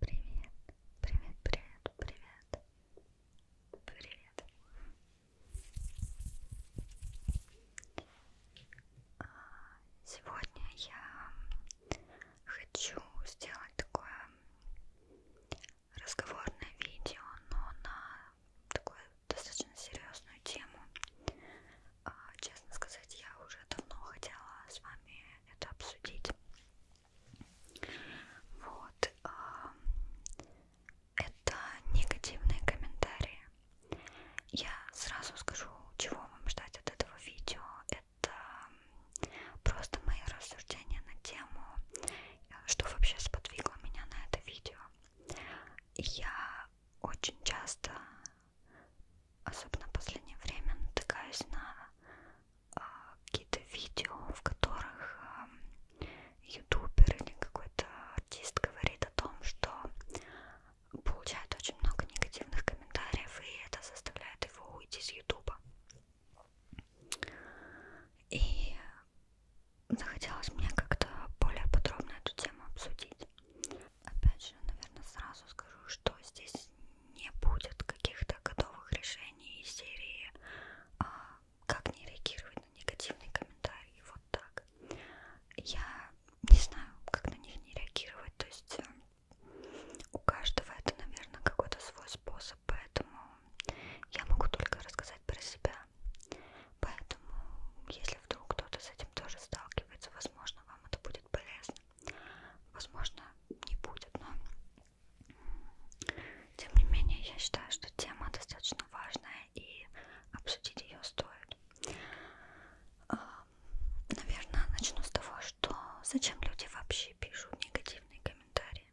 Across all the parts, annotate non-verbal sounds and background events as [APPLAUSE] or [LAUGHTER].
Привет, привет, привет, привет, привет. А, сегодня я хочу сделать такое разговорное видео, но на такую достаточно серьезную тему. А, честно сказать, я уже давно хотела с вами это обсудить. Вот. А, это негативные комментарии. Я сразу скажу, чего вам ждать от этого видео. Это просто мои рассуждения на тему, что вообще сподвигло меня на это видео. Я очень часто особенно в последнее время натыкаюсь на э, какие-то видео, в которых э, ютубер или какой-то артист говорит о том, что получает очень много негативных комментариев, и это заставляет его уйти с ютуба. И захотелось мне как-то более подробно эту тему обсудить. Опять же, наверное, сразу скажу, что здесь не будет каких-то готовых решений из серии а, «Как не реагировать на негативные комментарии?» Вот так. Я не знаю, как на них не реагировать, то есть э, у каждого это, наверное, какой-то свой способ, поэтому я могу только рассказать про себя. Поэтому, если вдруг кто-то с этим тоже сталкивается, возможно, вам это будет будет полезно. Возможно, не будет, но тем не менее я считаю, что тема достаточно важная и обсудить ее стоит. А, наверное, начну с того, что зачем люди вообще пишут негативные комментарии.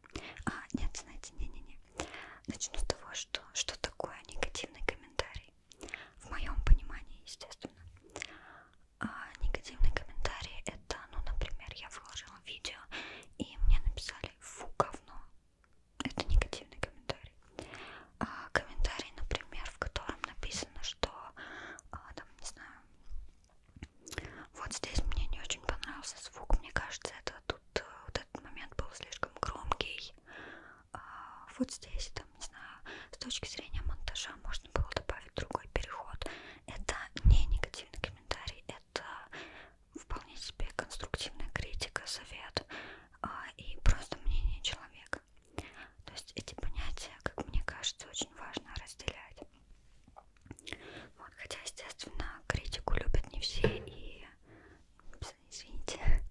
А, нет, знаете, не-не-не. Начну с того, что что такое негативный комментарий в моем понимании, естественно. А негативный комментарий это, ну, например, я выложила видео, и мне написали фу, говно. Это негативный комментарий. А комментарий, например, в котором написано, что а, там, не знаю, вот здесь мне не очень понравился звук. Мне кажется, это тут э, вот этот момент был слишком громкий. А, вот здесь, там, не знаю, с точки зрения монтажа можно было добавить другой переход. Это не негативный комментарий, это вполне себе конструктивная критика, совет а, и просто мнение человека. То есть эти понятия, как мне кажется, очень важно разделять. Вот, хотя, естественно, критику любят не все и нравится, извините.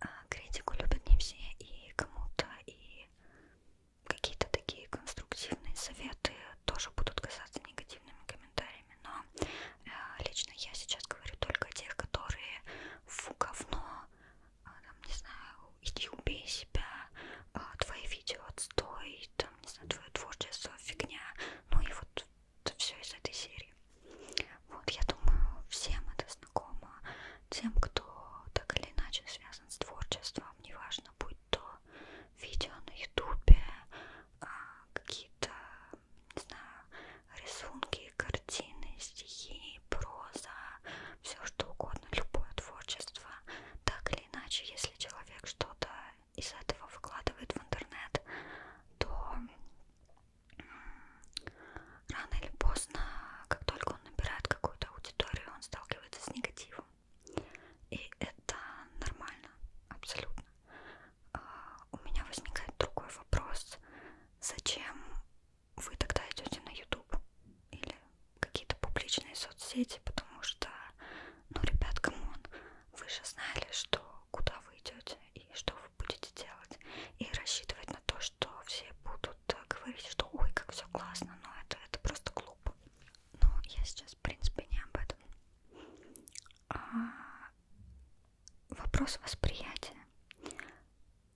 А, критику любят не все и кому-то, и какие-то такие конструктивные советы тоже будут казаться негативными комментариями. Но а, лично я сейчас говорю только о тех, которые фу говно, а, там, не знаю, иди убей себя, твои видео отстой, там, не знаю, твое творчество фигня. Ну и вот все из этой серии. Вот, я думаю, всем это знакомо, тем, кто так или иначе связан с творчеством, неважно, будь то видео на ютубе, а, какие-то, не знаю, рисунки, картины, стихи, проза, все что угодно, любое творчество, так или иначе, если человек что-то из этого выкладывает в интернет, то рано или поздно, как только он набирает какую-то аудиторию, он сталкивается с негативом. И это нормально, абсолютно. А, у меня возникает другой вопрос. Зачем вы тогда идете на YouTube или какие-то публичные соцсети? Потому что, ну, ребят, камон, вы же знали, что куда вы идете и что вы будете делать. И рассчитывать на то, что все будут э, говорить, что ой, как все классно, но это, это просто глупо. Но я сейчас, в принципе, не об этом. А вопрос восприятия.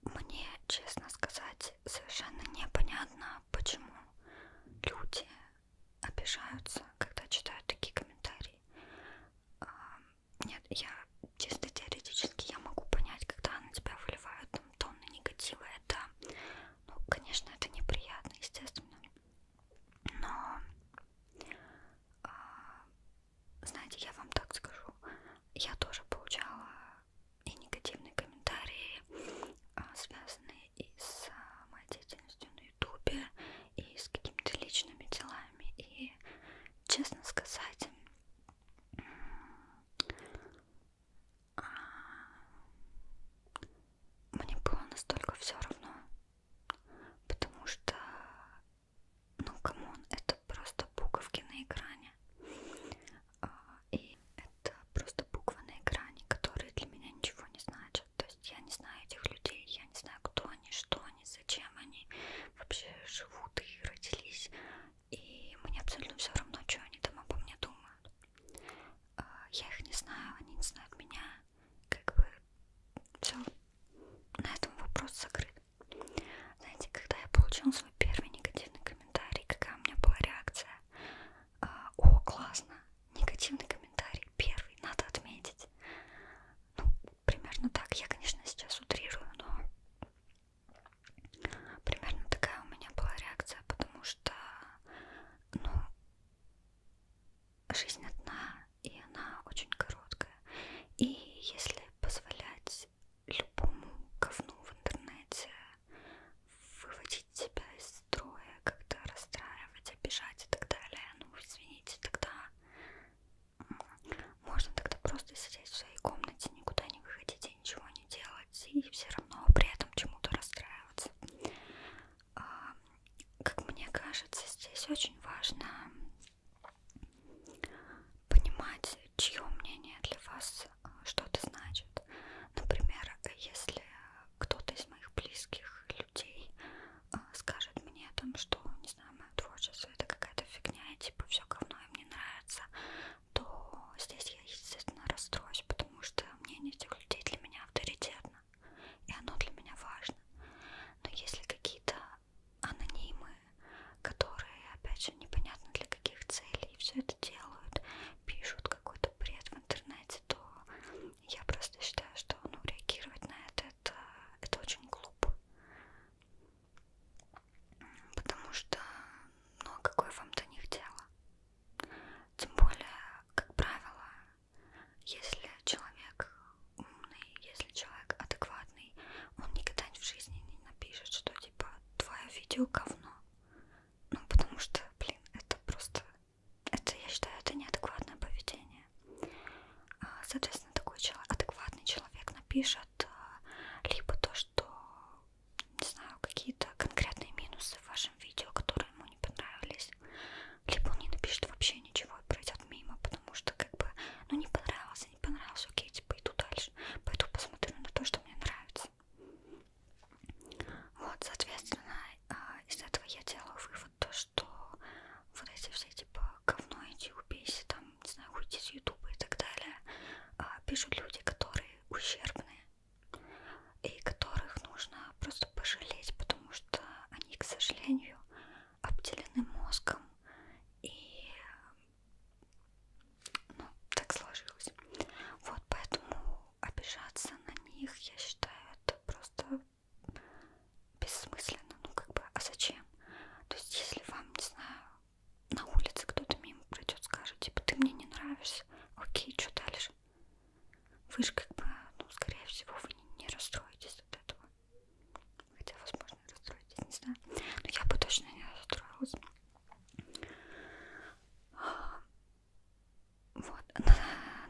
Мне, честно сказать, совершенно непонятно, почему люди обижаются, когда читают такие комментарии. Нет, я чисто теоретически я могу понять, когда на тебя выливают там, тонны негатива, это, ну, конечно, это неприятно, естественно, но, э, знаете, я вам так скажу, я тоже получала и негативные комментарии, э, связанные и с э, моей деятельностью, но ютубе и с какими-то личными делами. И, честно сказать, а, мне было настолько все равно, потому что, ну, камон, это просто буковки на экране. А, и это просто буквы на экране, которые для меня ничего не значат может. То есть я не знаю этих людей, я не знаю, кто они, что они, зачем они вообще живут и родились. И мне абсолютно все равно, что они там обо мне думают. А, я их не знаю, они не знают меня. Как бы все на этом вопрос закрыт. Знаете, когда я получила свой первый негативный комментарий, какая у меня была реакция? А, о, классно! Негативный комментарий первый, надо отметить. Ну, примерно так. Я, конечно, сейчас утрирую, но примерно такая у меня была реакция, потому что, ну, жизнь одна, и она очень короткая. И если позволять любому говну в интернете выводить тебя из строя, когда расстраивать, обижать и так далее. Ну, извините, тогда можно тогда просто сидеть в своей комнате, никуда не выходить и ничего не делать, и все равно при этом чему-то расстраиваться. А, как мне кажется, здесь очень важно понимать, чье мнение для вас а, что-то значит. Например, если кто-то из моих близких людей э, скажет мне о том, что, не знаю, мое творчество это какая-то фигня, и типа все говно им не нравится, то здесь я, естественно, расстроюсь, потому что мнение этих людей для меня авторитетно, и оно для меня важно. Но если какие-то анонимы, которые, опять же, непонятно для каких целей все это делают, пишут какой-то бред в интернете, то я просто считаю, что ну, реагировать на это, это, это очень глупо. Потому что, ну а какое вам до них дело? Тем более, как правило, если человек умный, если человек адекватный, он никогда в жизни не напишет, что типа твое видео говно. Ну потому что, блин, это просто это, я считаю, это неадекватное поведение. А, соответственно, такой человек, адекватный человек напишет а, либо то, что, не знаю, какие-то конкретные минусы в вашем видео, которые ему не понравились, либо он не напишет вообще ничего и пройдет мимо, потому что как бы, ну не понравился, не понравился, окей, типа иду дальше, пойду посмотрю на то, что мне нравится сейчас. Вот, соответственно, а, из этого я делаю вывод то, что вот эти все типа говно иди убейся, там, не знаю, уйти с ютуба и так далее, а, пишут люди, которые ущербные и которых нужно просто пожалеть, потому что они, к сожалению, обделены мозгом и ну, так сложилось. Вот поэтому обижаться на них, я считаю, это просто бессмысленно. Ну, как бы, а зачем? То есть, если вам, не знаю, на улице кто-то мимо пройдет, скажет, типа, ты мне не нравишься, окей, что дальше? Вы же как бы, ну, скорее всего, вы не, не расстроитесь от этого. Хотя, возможно, расстроитесь, не знаю. Но я бы точно не расстроилась. Вот, на,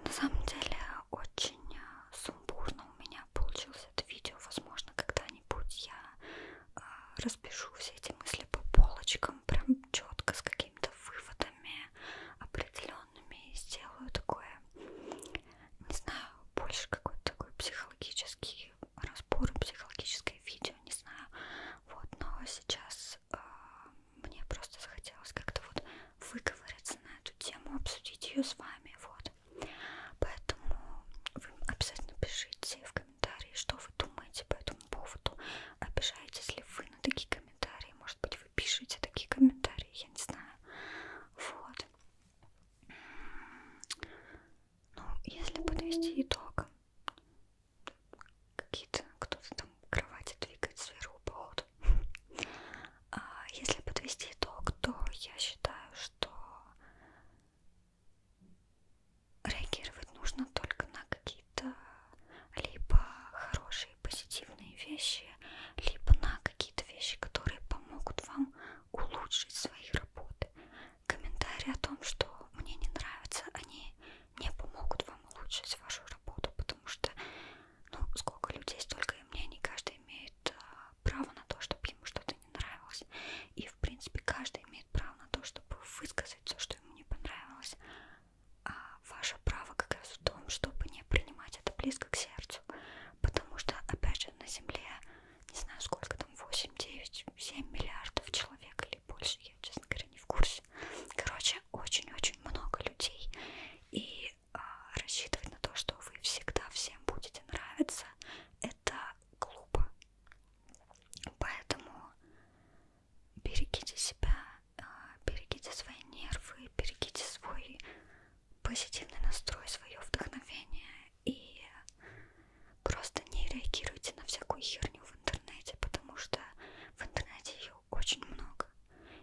на самом деле очень э, сумбурно у меня получилось это видео. Возможно, когда-нибудь я э, распишу все эти мысли по полочкам, прям четко с какими-то выводами определенными и сделаю такое, не знаю, больше какой-то такой психологический разбор, психологическое видео я не знаю. Вот, но сейчас э, мне просто захотелось как-то вот выговориться на эту тему, обсудить ее с вами. Вот. Поэтому вы обязательно пишите в комментарии, что вы думаете по этому поводу. Обижаетесь ли вы на такие комментарии? Может быть, вы пишете такие комментарии, я не знаю. Вот. Ну, если подвести итог, какие-то кто-то там кровати двигает сверху по ходу. А если подвести итог, то я считаю, что реагировать нужно только на какие-то либо хорошие позитивные вещи, либо на какие-то вещи, которые помогут вам улучшить свои работы комментарии о том, что мне не нравится, они не помогут вам улучшить вашу работу, потому что, ну, сколько людей, столько и мнений, каждый имеет а, право на то, чтобы ему что-то не нравилось. И, в принципе, каждый имеет право на то, чтобы высказать все, что ему не понравилось. А ваше право как раз в том, чтобы не принимать это близко к сердцу, потому что, опять же, на Земле не знаю сколько там, 8, 9, 7 миллиардов человек или больше, я, честно говоря, не в курсе. Короче, очень-очень много людей, и э, рассчитывать на то, что вы всегда всем будете нравиться, это глупо. Поэтому берегите себя, э, берегите свои нервы, берегите свой позитивный настрой, свое вдохновение и просто не реагируйте на всякую херню в интернете, потому что в интернете ее очень много,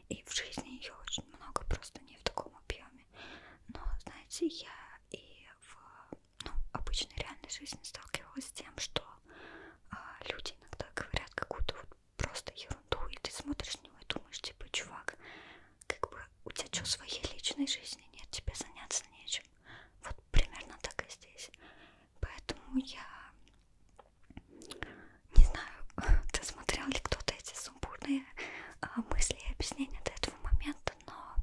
и в жизни ее очень много, просто не в таком объеме. Но, знаете, я и в ну, обычной реальной жизни сталкивалась с тем, что а, люди иногда говорят какую-то вот просто ерунду, и ты смотришь на него и думаешь, типа, чувак, как бы у тебя что, своей личной жизни нет, тебе заняться нечем. Вот примерно так и здесь. Поэтому я не знаю, досмотрел [LAUGHS] ли кто-то эти сумбурные а, мысли и объяснения до этого момента, но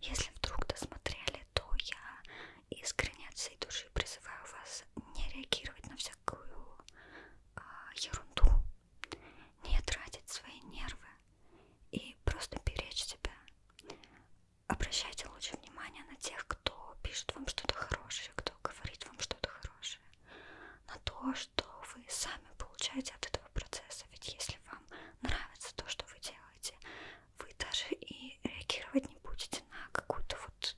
если вдруг досмотрели, то я искренне от всей души призываю вас не реагировать на всякую э, ерунду, не тратить свои нервы и просто беречь себя, Обращайте лучше внимание на тех, кто пишет вам что-то хорошее, кто говорит вам что-то хорошее, на то, что вы сами получаете от этого процесса. Ведь если вам нравится то, что вы делаете, вы даже и реагировать не будете на какую-то вот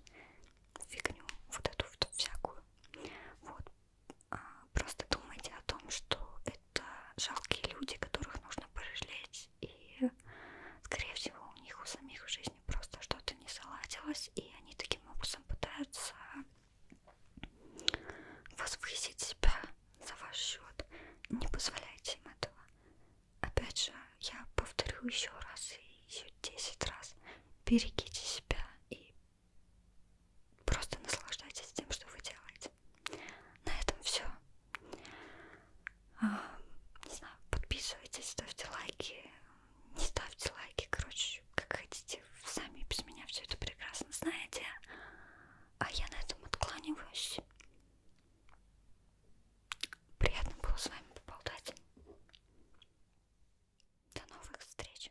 фигню, вот эту вот всякую. Вот. А, просто думайте о том, что это жалкие люди, которых нужно пожалеть, и, скорее всего, у них у самих в жизни просто что-то не заладилось, и они таким образом пытаются возвысить себя за ваш счет. Не позволяйте им этого. Опять же, я повторю еще раз и еще 10 раз. Берегите себя и просто наслаждайтесь тем, что вы делаете. На этом все. А, не знаю, подписывайтесь, ставьте лайки, не ставьте лайки, короче, как хотите. Вы сами без меня все это прекрасно знаете. А я на этом откланиваюсь. Приятно было с вами поболтать. До новых встреч.